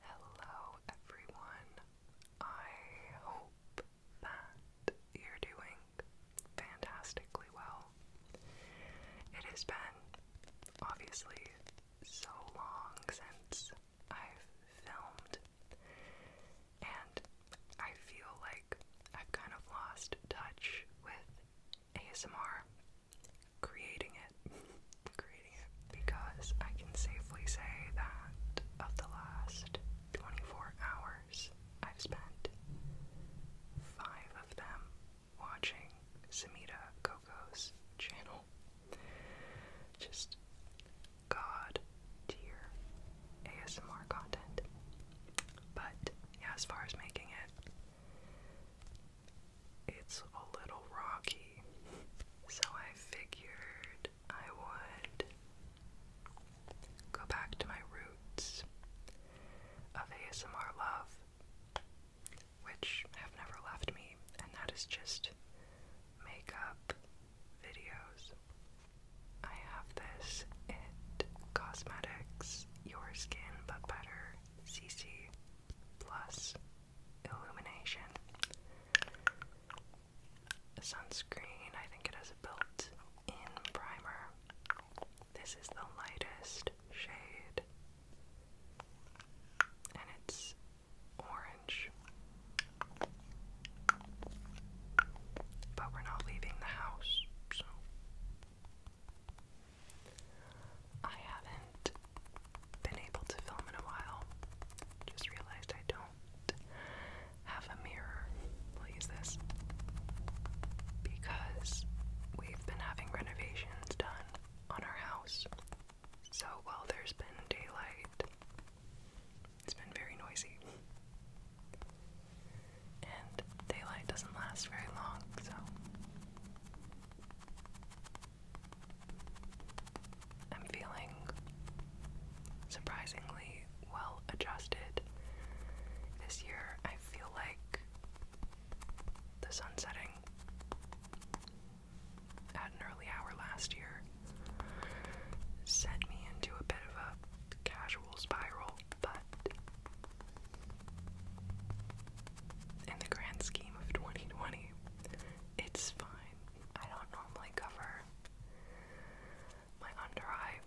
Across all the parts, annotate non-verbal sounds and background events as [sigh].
Hello, everyone. I hope that you're doing fantastically well. It has been, obviously, so long since I've filmed, and I feel like I've kind of lost touch with ASMR, creating it creating it, because I can safely say that of the last 24 hours, I've spent five of them watching Samita Coco's channel. Just god dear ASMR content. But yeah, as far as making it, it's a little rocky so I figured I would go back to my roots of ASMR love, which have never left me, and that is just makeup videos. I have this It Cosmetics Your Skin But Better CC Plus illumination. Sunscreen, I think it has a built in primer. This is the lightest shade, and it's orange. But we're not leaving the house, so. I haven't been able to film in a while. Just realized I don't have a mirror. We'll use this. Because we've been having renovations done on our house. So while there's been daylight, it's been very noisy. And daylight doesn't last very long, so I'm feeling surprisingly well adjusted this year. I feel like the sun setting at an early hour last year sent me into a bit of a casual spiral, but in the grand scheme of 2020, it's fine. I don't normally cover my under eye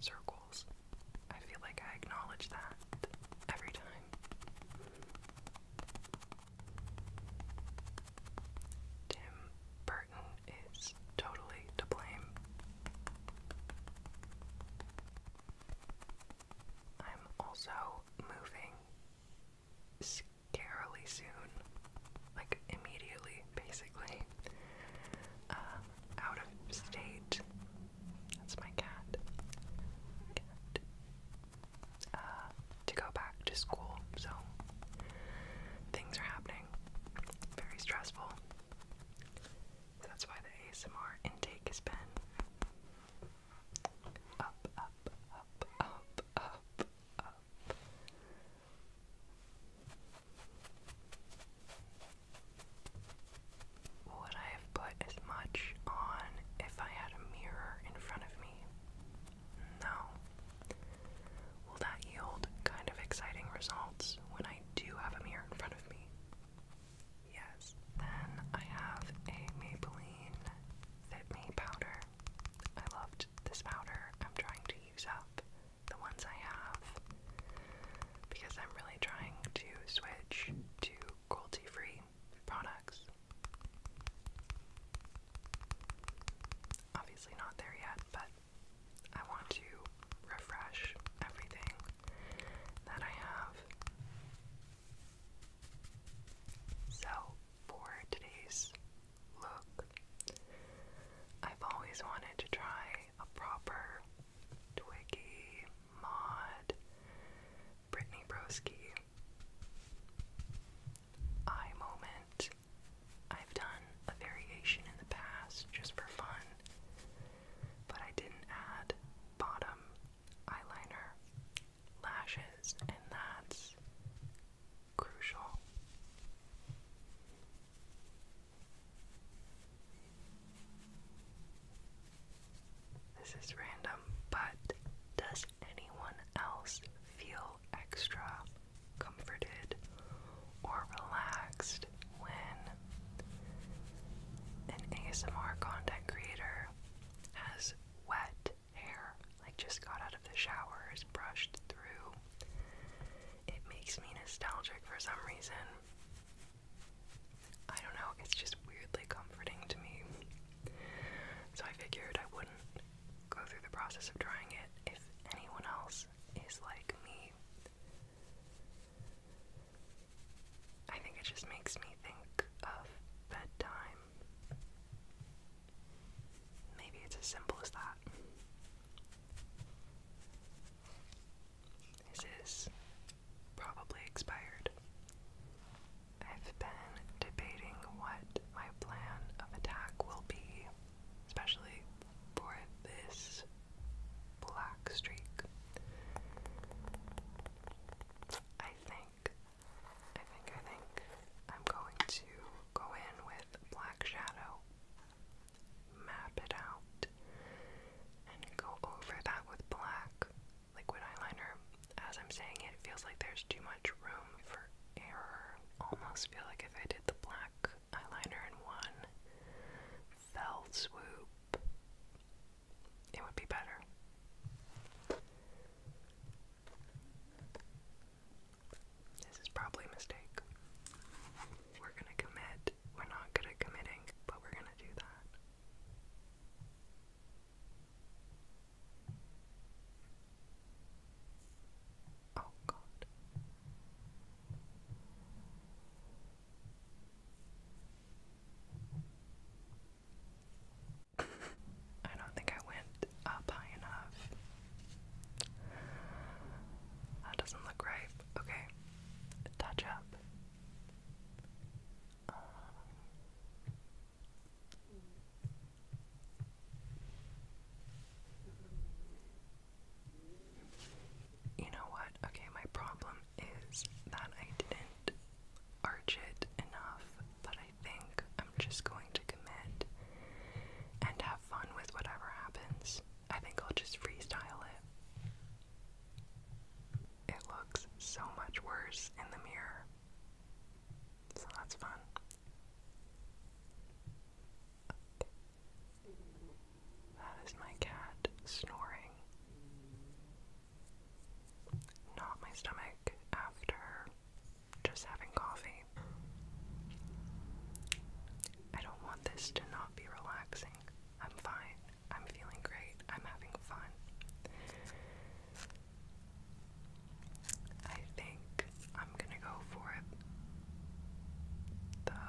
circles. I feel like I acknowledge that every time. Tim Burton is totally to blame. I'm also moving scarily soon, like immediately, basically. Um, out of state. That's my cat. Uh, to go back to school, so things are happening. Very stressful. that's why the ASMR intake has been up, up, up, up, up, up. Would I have put as much on if I had a mirror in front of me? No. Will that yield kind of exciting results when I do have a mirror in front of me? Yes. Then I have a Maybelline Fit Me powder. I love this powder. I'm trying to use up the ones I have because I'm really trying to switch to cruelty free products. Obviously, not there yet, but I want to refresh everything that I have. So, for today's look. I've always wanted to try a proper Twiggy mod Brittany Broski eye moment. I've done a variation in the past just for fun, but I didn't add bottom eyeliner lashes, and that's crucial. This is random, but does anyone else feel extra comforted or relaxed when an ASMR content creator has wet hair. Like, just got out of the shower, is brushed through. It makes me nostalgic for some reason. I don't know, it's just weirdly comforting to me. So I figured I wouldn't go through the process of trying it if anyone else is like me. I think it just makes me think of bedtime Maybe it's as simple as that. This is probably expired. I've been debating what my plan of attack will be, especially for this black streak. I think I think, I think I'm going to go in with Black Shadow, map it out, and go over that with black liquid eyeliner. As I'm saying it, it feels like there's too much room for error. Almost feel like if I did the black eyeliner in one fell swoop, it would be better. This is probably a mistake. We're gonna commit. We're not good at committing, but we're gonna do that. Oh God. [laughs] I don't think I went up high enough. That doesn't look right. Okay. Touch up. Uh. you know what? Okay, my problem is that I didn't arch it enough, but I I think I'm just going to commit and have fun with whatever happens. I think I'll just freestyle it. It looks so much worse in the mirror. So that's fun. That is my cat snoring. Not my stomach after just having coffee. I don't want this to not be relaxing. I'm fine. I'm feeling great. I'm having fun. I think I'm gonna go for it. The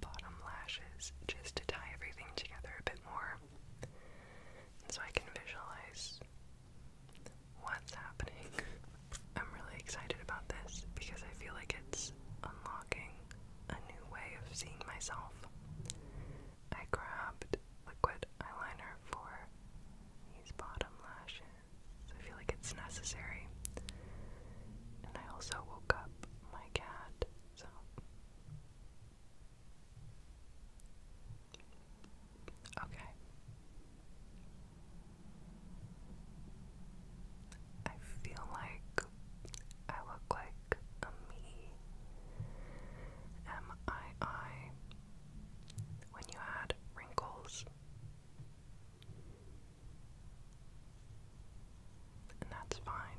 bottom lashes just to tie everything together a bit more. so I can visualize what's happening. [laughs] I'm really excited about this because I feel like it's unlocking a new way of seeing myself. I grabbed liquid eyeliner for these bottom lashes. I feel like it's necessary. And I also woke up my cat, so Okay. I feel like I look like a me. M I I. When you add wrinkles. And that's fine.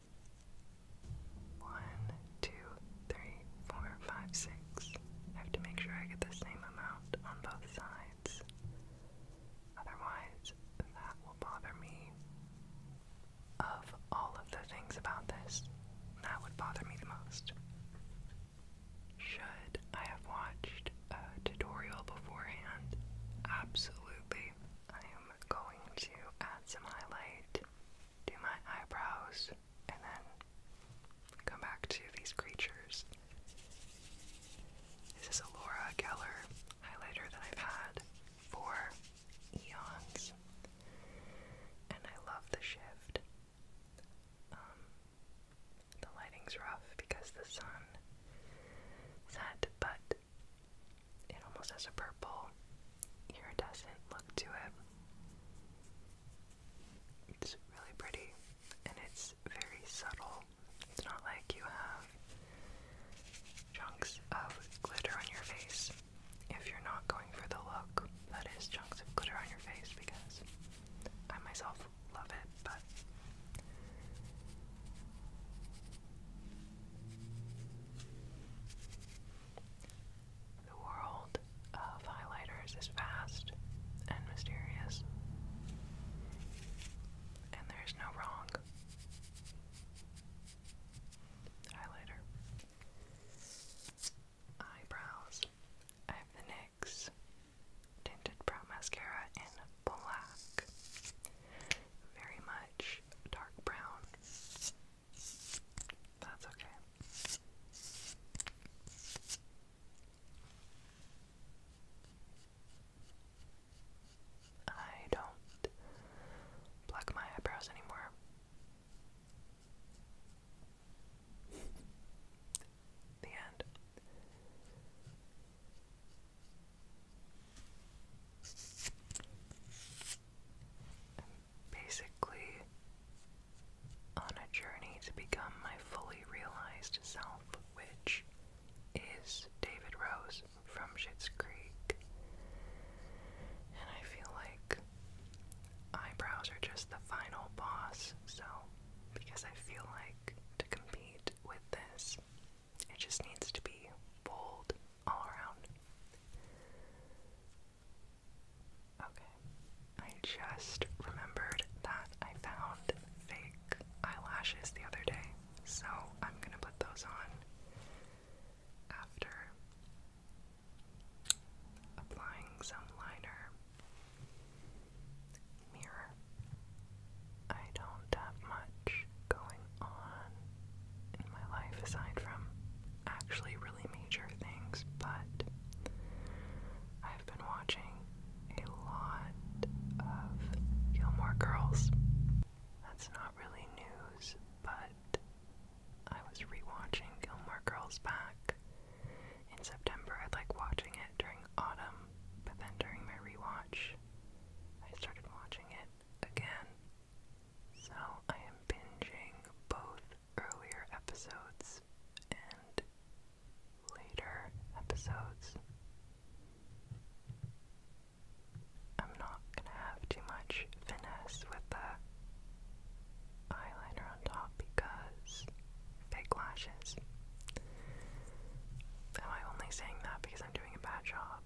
One, two, three, four, five, six. I have to make sure I get the same amount on both sides. Otherwise, that will bother me. Of all of the things about this, that would bother me the most. Should I have watched a tutorial beforehand? Absolutely. I am going to add some highlight do my eyebrows, and then come back to these creatures. This is a Laura Geller highlighter that I've had for eons, and I love the shift. Um, the lighting's rough because the sun set, but it almost has a purple iridescent look to it. It's really pretty and it's very subtle. It's not like you have chunks of glitter on your face if you're not going for the look that is chunks of glitter on your face because I myself love it, but the world of highlighters is vast and mysterious, and there's no wrong. Highlighter. Eyebrows. I Tinted Brow Mascara in black. Very much dark brown. That's okay. I don't pluck my eyebrows anymore. [laughs] the end basically on a journey to become my fully realized self, which is David Rose from Schitt's Creek. And I feel like eyebrows are just the final boss, so because I feel like to compete with this, it just needs to be bold all around. Okay. I just remembered that I found fake eyelashes the other day, so I'm gonna put those on after applying some liner. Mirror. I don't have much going on in my life aside from actually really major things, but I've been watching a lot of Gilmore Girls. That's not really news, but I was rewatching Gilmore Girls back in September. I like watching it during autumn, but then during my rewatch, I started watching it again so I am binging both earlier episodes and later episodes. I'm not gonna have too much finesse with the eyeliner on top because fake lashes. Am I only saying that because I'm doing a bad job?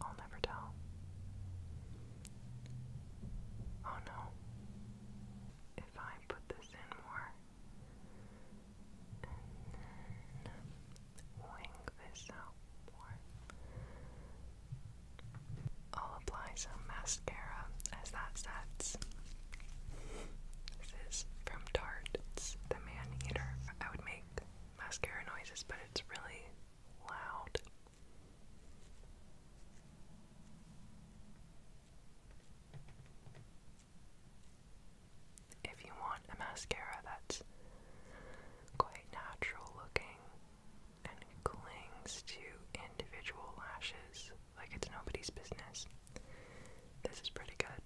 I'll never tell. Oh no. If I put this in more and wing this out more, I'll apply some mascara as that sets. This is from Tarte. the Man Eater. I would make mascara noises, but it's really loud. If you want a mascara that's quite natural looking and clings to individual lashes like it's nobody's business, this is pretty good.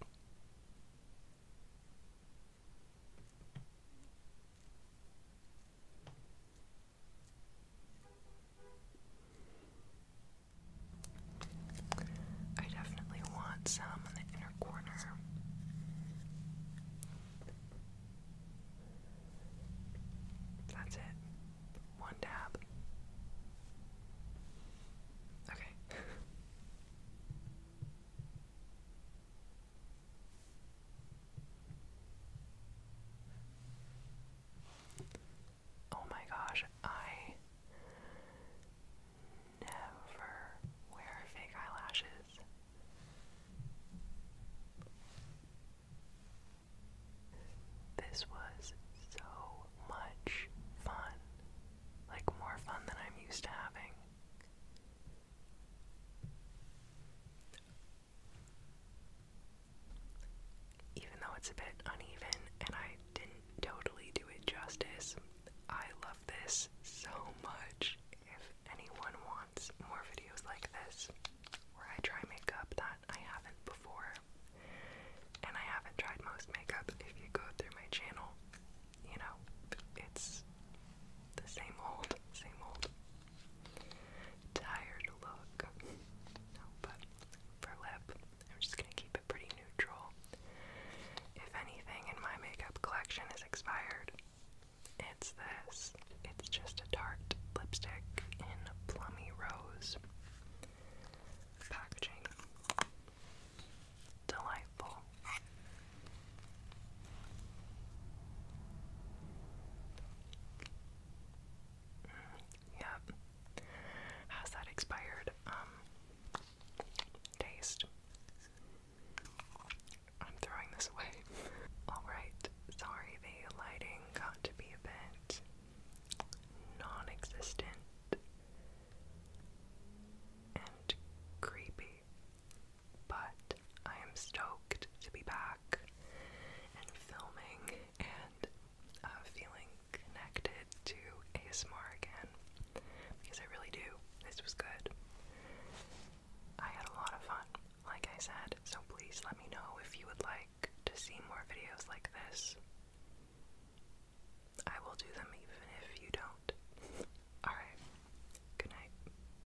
I definitely want some in the inner corner. That's it. One dab. Okay. [laughs] Oh my gosh, I never wear fake eyelashes. This was so much fun. Like, more fun than I'm used to having. Even though it's a bit uneven and I didn't totally do it justice, I love this so much. If anyone wants more videos like this, where I try makeup that I haven't before, and I haven't tried most makeup, if you go through my channel, you know, it's the same old, same old tired look. no, but for lip, I'm just gonna keep it pretty neutral. If anything in my makeup collection is expired, it's this. It's just a dark lipstick in Plummy Rose. Packaging. Delightful. Mm, yep. that expired? Um, taste. I'm throwing this away. [laughs] Alright, sorry the lighting got to be a bit non existent and creepy but I am stoked to be back and filming and uh, feeling connected to ASMR again because I really do. This was good. I had a lot of fun, like I said, so please let me know if you would like to see more videos like this. I will do them even if you don't. [laughs] Alright, good night.